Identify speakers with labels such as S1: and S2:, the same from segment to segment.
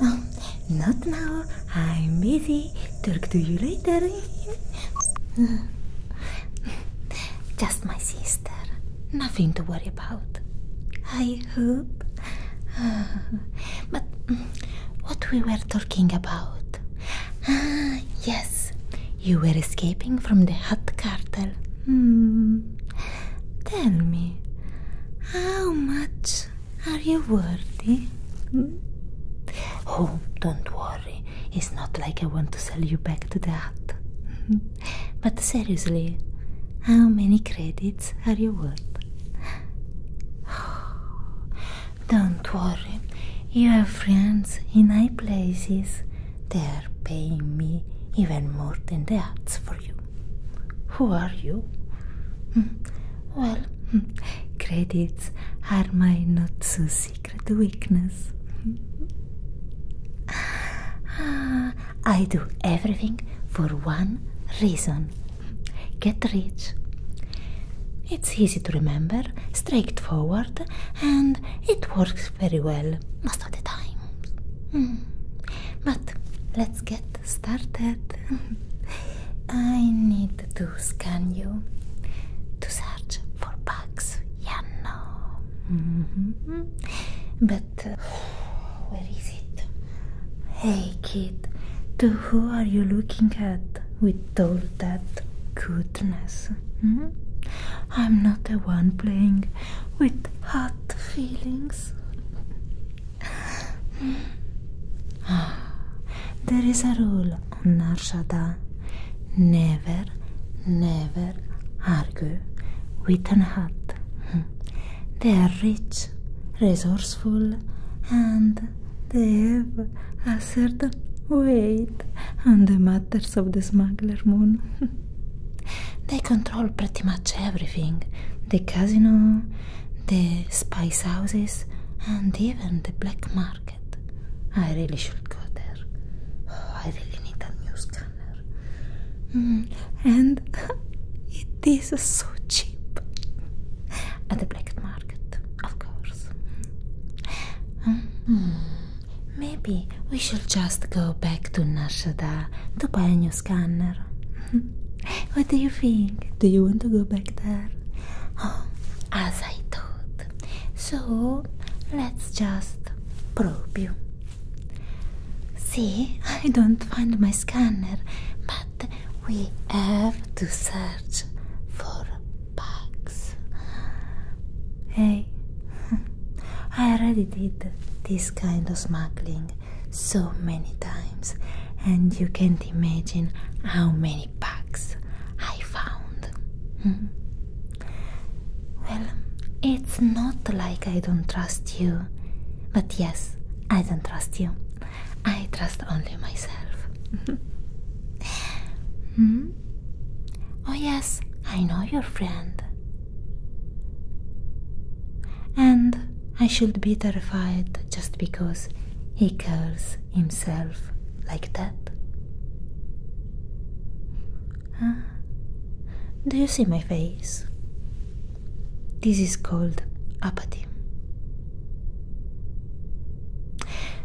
S1: Um, not now. I'm busy. Talk to you later. Just my sister. Nothing to worry about. I hope. but what we were talking about? Ah, yes. You were escaping from the Hut Cartel. Hmm. Tell me, how much are you worthy? Hmm? Oh, don't worry. It's not like I want to sell you back to the hut. Hmm. but seriously, how many credits are you worth? Don't worry, you have friends in high places they're paying me even more than the ads for you. Who are you? Hmm? Well, hmm, credits are my not so secret weakness. Hmm? I do everything for one reason get rich. It's easy to remember, straightforward, and it works very well most the time. Hmm. But let's get started. I need to scan you to search for bugs, yeah, no. Mm-hmm. But uh, where is it? Hey, kid, to who are you looking at with all that good Hmm? I'm not the one playing with hot feelings. there is a rule on Narshada never, never argue with an hut. Hmm. They are rich, resourceful, and they have a certain weight on the matters of the smuggler moon. They control pretty much everything the casino, the spice houses, and even the black market. I really should go there. Oh, I really need a new scanner. Mm, and it is so cheap. At the black market, of course. Mm. Mm. Maybe we should just go back to Nashada to buy a new scanner. what do you think? Do you want to go back there? Oh, as I thought. So let's just probe you. See, I don't find my scanner, but we have to search for bugs. Hey, I already did this kind of smuggling so many times, and you can't imagine how many packs I found. well, it's not like I don't trust you, but yes, I don't trust you. I trust only myself. hmm? Oh, yes, I know your friend. And I should be terrified just because he curls himself like that. Ah, do you see my face? This is called apathy.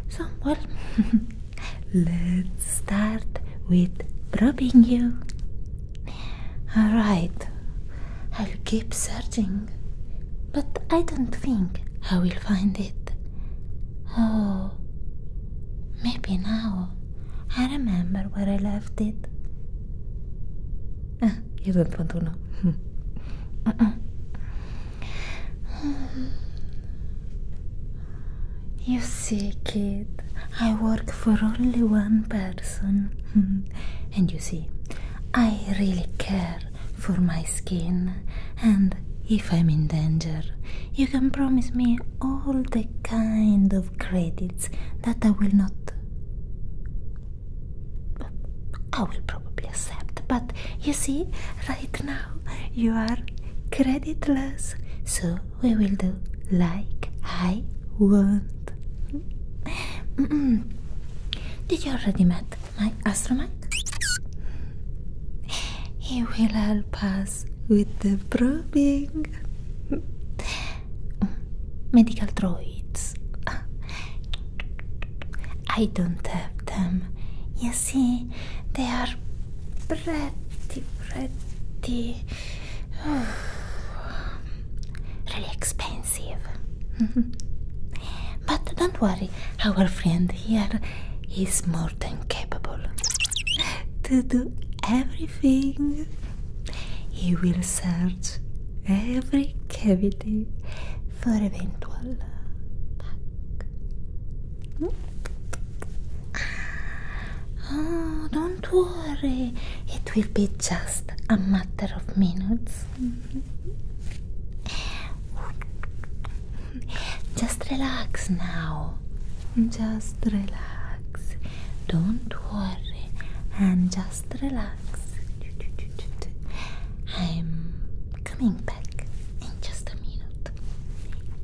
S1: So, Let's start with probing you. Alright, I'll keep searching, but I don't think I will find it. Oh, maybe now I remember where I left it. Ah, you don't want to know. You see, kid, I work for only one person. and you see, I really care for my skin. And if I'm in danger, you can promise me all the kind of credits that I will not. I will probably accept, but you see, right now you are creditless, so we will do like I want. Did you already met my astronaut? He will help us with the probing. Medical droids. I don't have them. Yes see they are pretty, pretty really expensive. but don't worry, our friend here is more than capable to do everything. He will search every cavity for a bug. Oh, don't worry, it will be just a matter of minutes. Just relax now. Just relax. Don't worry and just relax. I'm coming back in just a minute.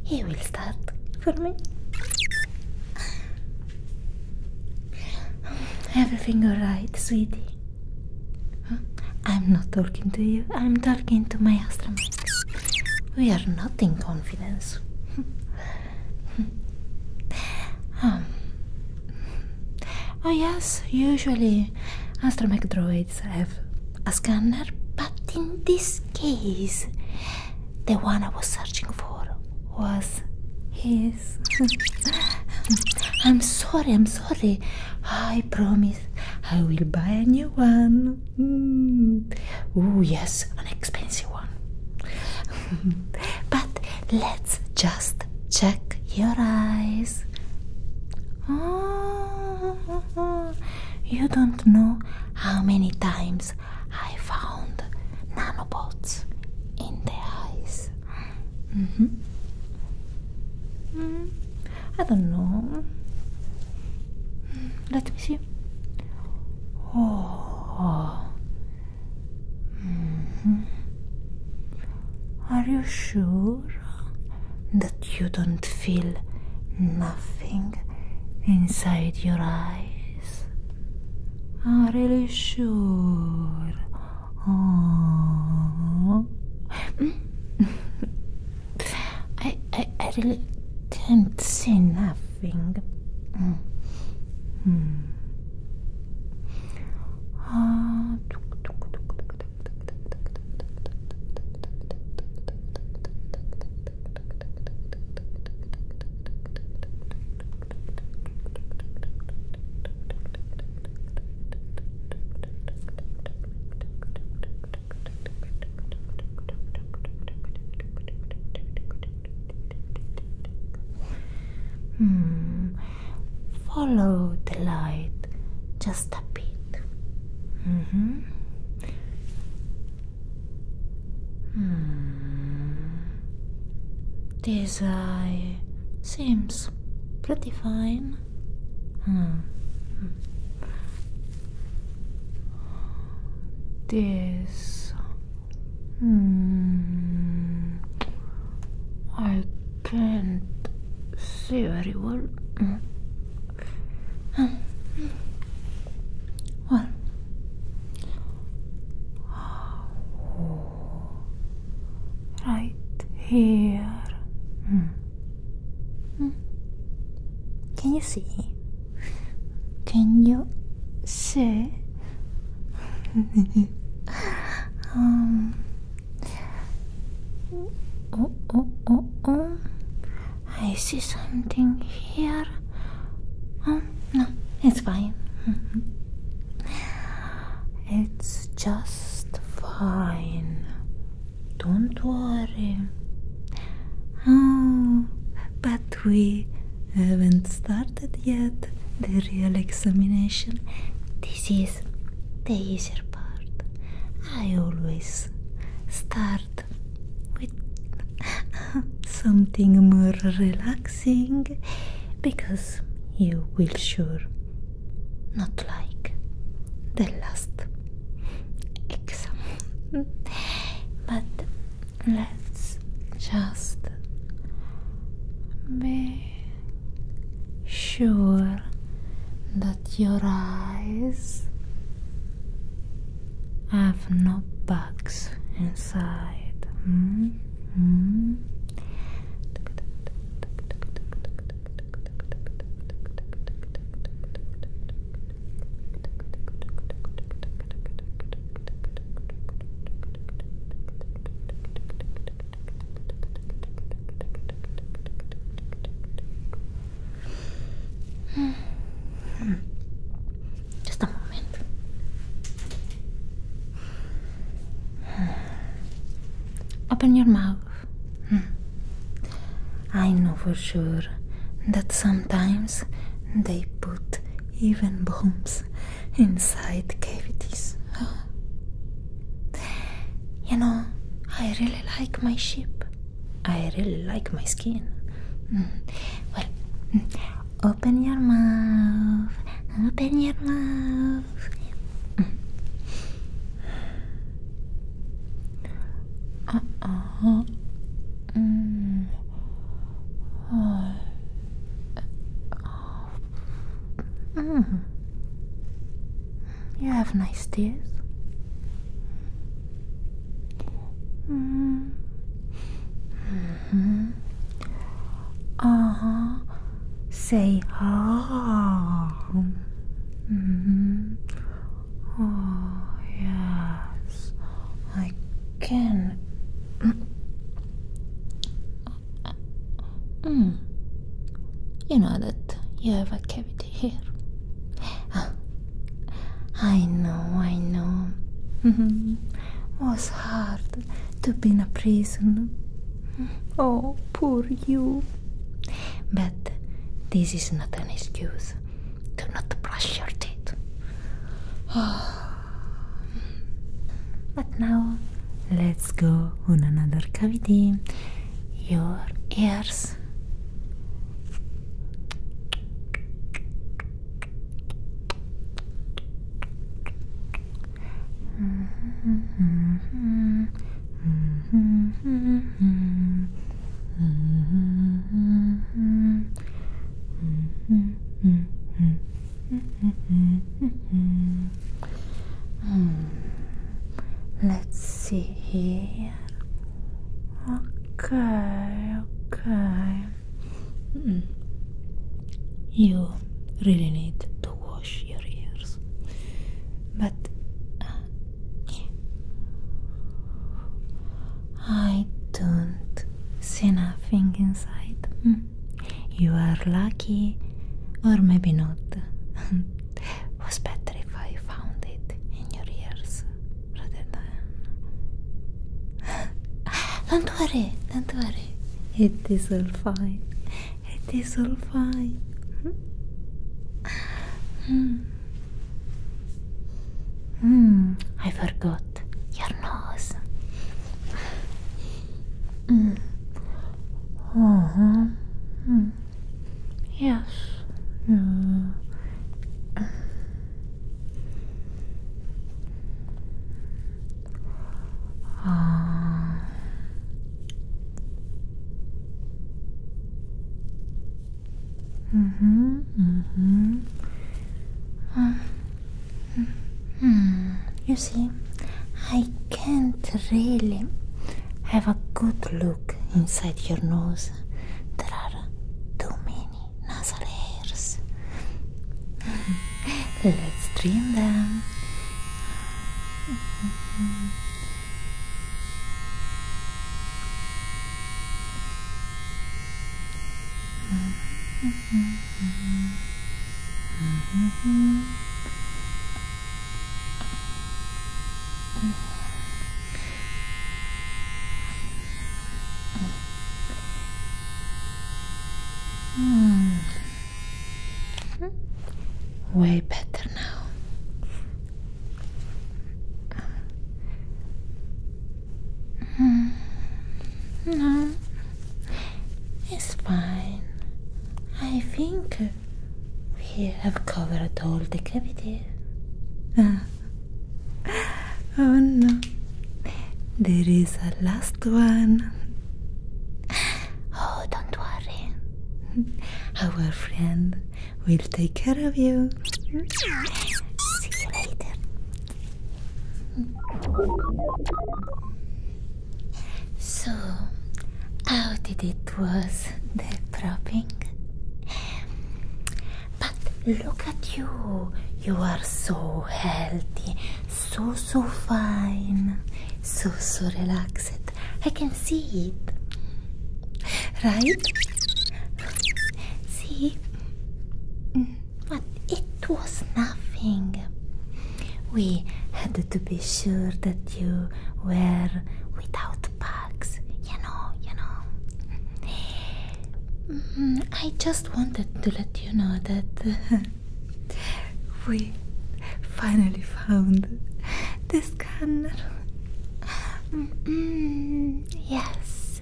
S1: He will start for me. Everything alright, sweetie. I'm not talking to you, I'm talking to my astronaut. We are not in confidence. Um, oh yes, usually astromech droids have a scanner, but in this case, the one I was searching for was his. I'm sorry, I'm sorry. I promise I will buy a new one. Oh, yes, an expensive one. but let's just check your eyes. Oh, you don't know how many times I found nanobots in the eyes. Mm -hmm. mm, I don't know. Mm, let me see. Oh. Mm-hmm. Are you sure? that you don't feel nothing inside your eyes? I'm ah, really sure. Oh. I, I, really can't see nothing. Mm. Hmm. Ah, Hmm. Follow the light. Just Mm-hmm. Hmm. This eye seems pretty fine. Hmm. This. Hmm. I can't see very well. Um, one. Oh, right here. Hmm. Hmm. Can you see? Can you see? Um, Oh, oh, oh, oh. I see something here. Oh, no, it's fine. it's just fine. Don't worry. Oh, but we haven't started yet the real examination. This is the easier part. I always start with something more relaxing because you will sure not like the last exam. but let's just be sure that your eyes have no bugs inside. Mm, mm. Just a moment. Open your mouth. Hmm. I know for sure that sometimes they put even bombs inside cavities. You know, I really like my ship. I really like my skin. Mm. Well, mm. open your mouth. Open your mouth. Mm. Uh -oh. Oh. Mm. You have nice teeth. Mm hmm. Uh uh-huh. Say ah. Mm hmm. yes, I can. Mm. You know that you have a cavity here. I know, I know. was hard to be in a prison. Oh, poor you. But this is not an excuse. Do not brush your teeth. but now let's go on another cavity your ears. Let's see here. Okay, okay. You really need to wash your ears. But uh, I don't see nothing inside. Mm. You are lucky, or maybe not. Was better if I found it in your ears rather than. don't worry, don't worry. It is all fine. It is all fine. Hmm. Hmm. I forgot your nose. Uh huh. Mm. Yes. Mm. Uh. Mm-hmm. Mm-hmm. Um, you see, I can't really have a good look inside your nose. There are too many nasal hairs. Let's trim them. Hmm. Way better now. Hmm. No. It's fine. I think we have covered all the cavities. Oh no, there is a last one. Oh, don't worry. Our friend will take care of you. See you later. So, how did it was the probing? But look at you, you are so healthy, so so fine, so so relaxed. I can see it, right? See, mm, but it was nothing. We had to be sure that you were without bugs, you know, you know. Mm-hmm. I just wanted to let you know that we finally found the scanner. Mm yes,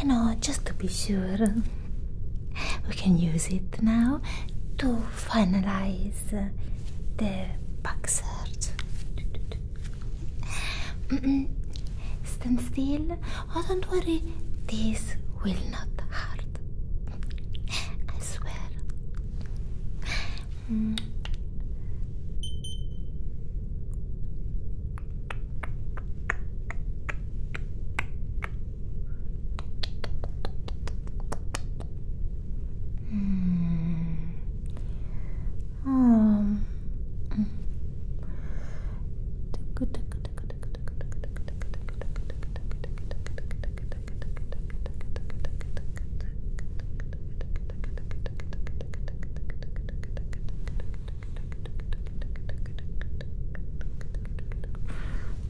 S1: you know, just to be sure. We can use it now to finalize uh, the back search. Stand still. Oh, don't worry. This will not hurt. I swear. Mm. Hmm. Um. Mm.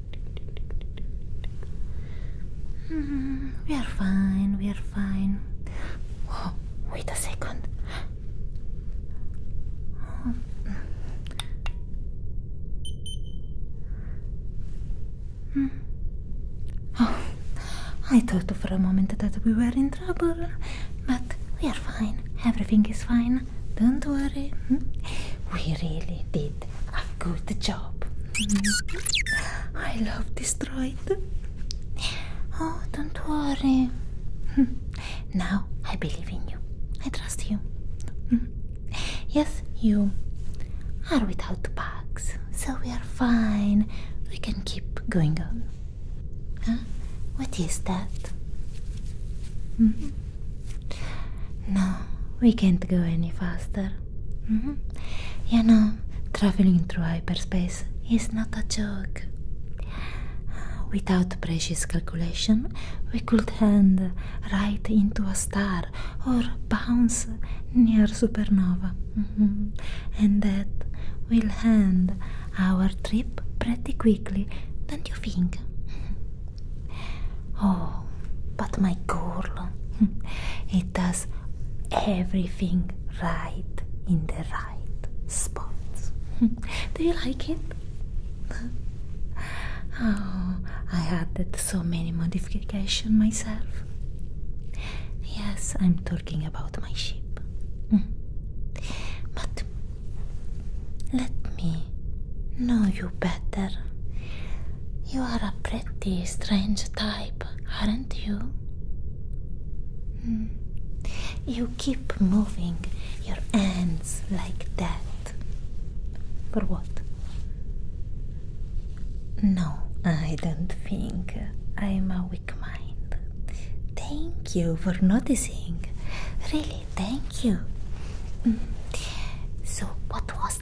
S1: we are fine, we are fine. Oh, wait a second. Oh. Oh, I thought for a moment that we were in trouble, but we are fine. Everything is fine don't worry. Hmm? We really did a good job. Hmm. I love destroyed. Oh, don't worry. Hmm. Now I believe in you. I trust you. Yes, you are without bugs, so we are fine. We can keep going on. Huh? What is that? No, we can't go any faster. Mm-hmm. You know, traveling through hyperspace is not a joke. Without precious calculation, we could hand right into a star or bounce near supernova, mm-hmm. and that will end our trip pretty quickly, don't you think? Oh, but my girl, it does everything right in the right spot. Do you like it? oh, I added so many modifications myself. Yes, I'm talking about my ship. But let me know you better. You are a pretty strange type, aren't you? Hmm. You keep moving your hands like that. For what? No, I don't think I'm a weak mind. Thank you for noticing. Really, thank you. Mm. So, what was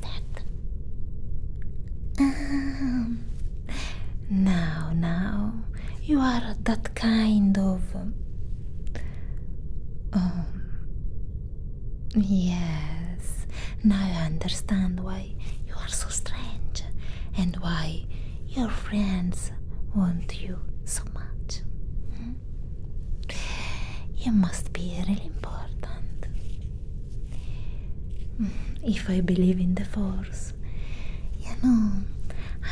S1: that? Um, now, now, you are that kind of. Um, um, yes, now I understand why you are so strange and why your friends want you so much. Hmm? You must be really important. Mm, if I believe in the force, you know,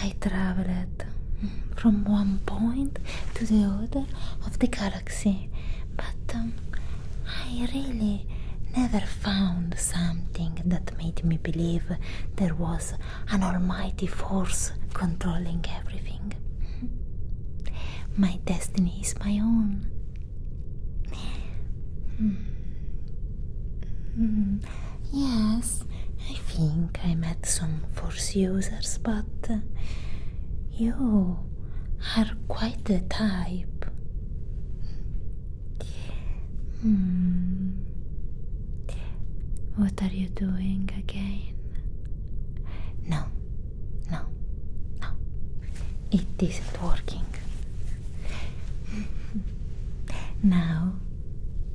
S1: I traveled mm, from one point to the other of the galaxy, but um, I really never found something that made me believe there was an almighty force controlling everything. My destiny is my own. Yes, I think I met some force users, but you are quite the type. Hmm. What are you doing again? No, no, no. It isn't working. now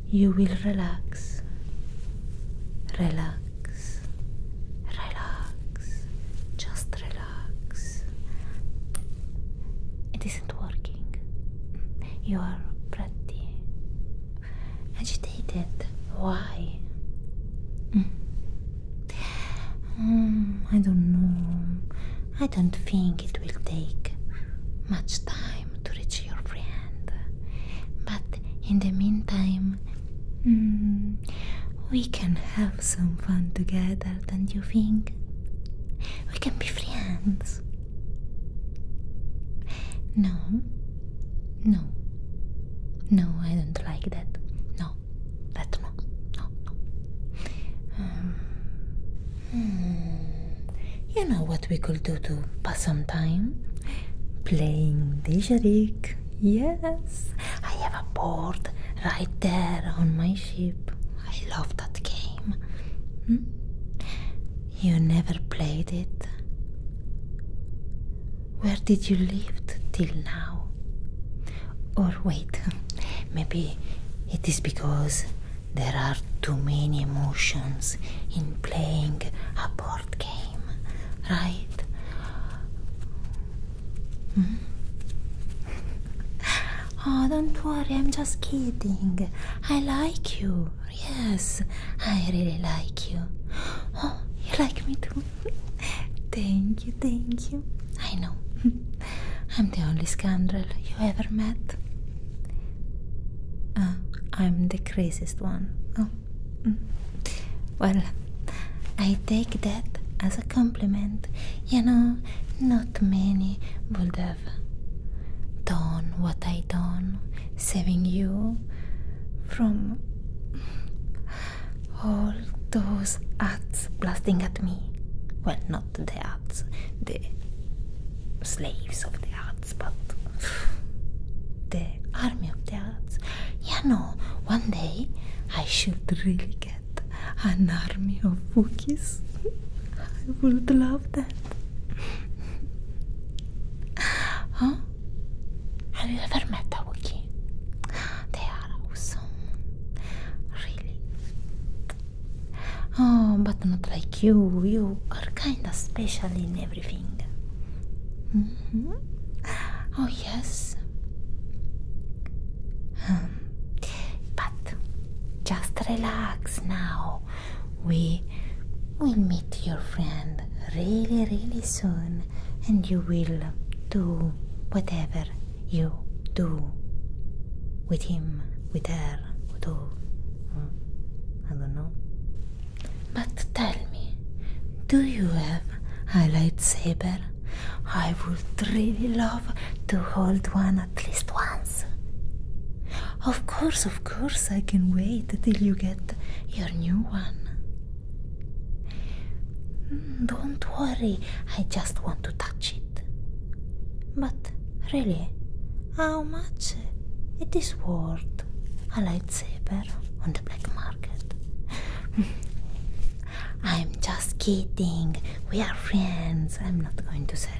S1: you will relax. Relax. Relax. Just relax. It isn't working. You are pretty agitated. Why? Hmm. Hmm, I don't know. I don't think it will take much time to reach your friend. But in the meantime, hmm, we can have some fun together, don't you think? We can be friends. No, no, no, I don't like that. No, that no, no, no. Um, hmm. You know what we could do to pass some time? Playing Dijarik. Yes, I have a board right there on my ship. I love that game. Hmm? You never played it? Where did you live till now? Or wait, maybe it is because there are too many emotions in playing a board game, right? Hmm? oh, don't worry, I'm just kidding. I like you, yes, I really like you. Oh, you like me too. thank you, thank you. I know. I'm the only scoundrel you ever met. Ah, I'm the craziest one. Oh. Mm. Well, I take that as a compliment. You know, not many would have done what I done saving you from all those ads blasting at me. Well, not the ads, the slaves of the ads, but the army of the ads. You know, one day I should really get an army of bookies. I would love that huh? Have you ever met a Wookiee? They are awesome. Really. Oh, but not like you. You are kinda special in everything. Mm-hmm. Oh, yes. Hmm. but just relax now we will meet your friend really, really soon, and you will do whatever you do with him, with her, with hmm. all. I don't know. But tell me, do you have a lightsaber? I would really love to hold one at least once. Of course, of course, I can wait till you get your new one. Mm, don't worry, I just want to touch it. But really, how much it is worth a lightsaber on the black market? I'm just kidding. We are friends. I'm not going to sell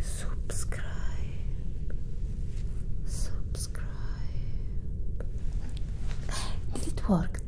S1: subscribe, subscribe. Did it work?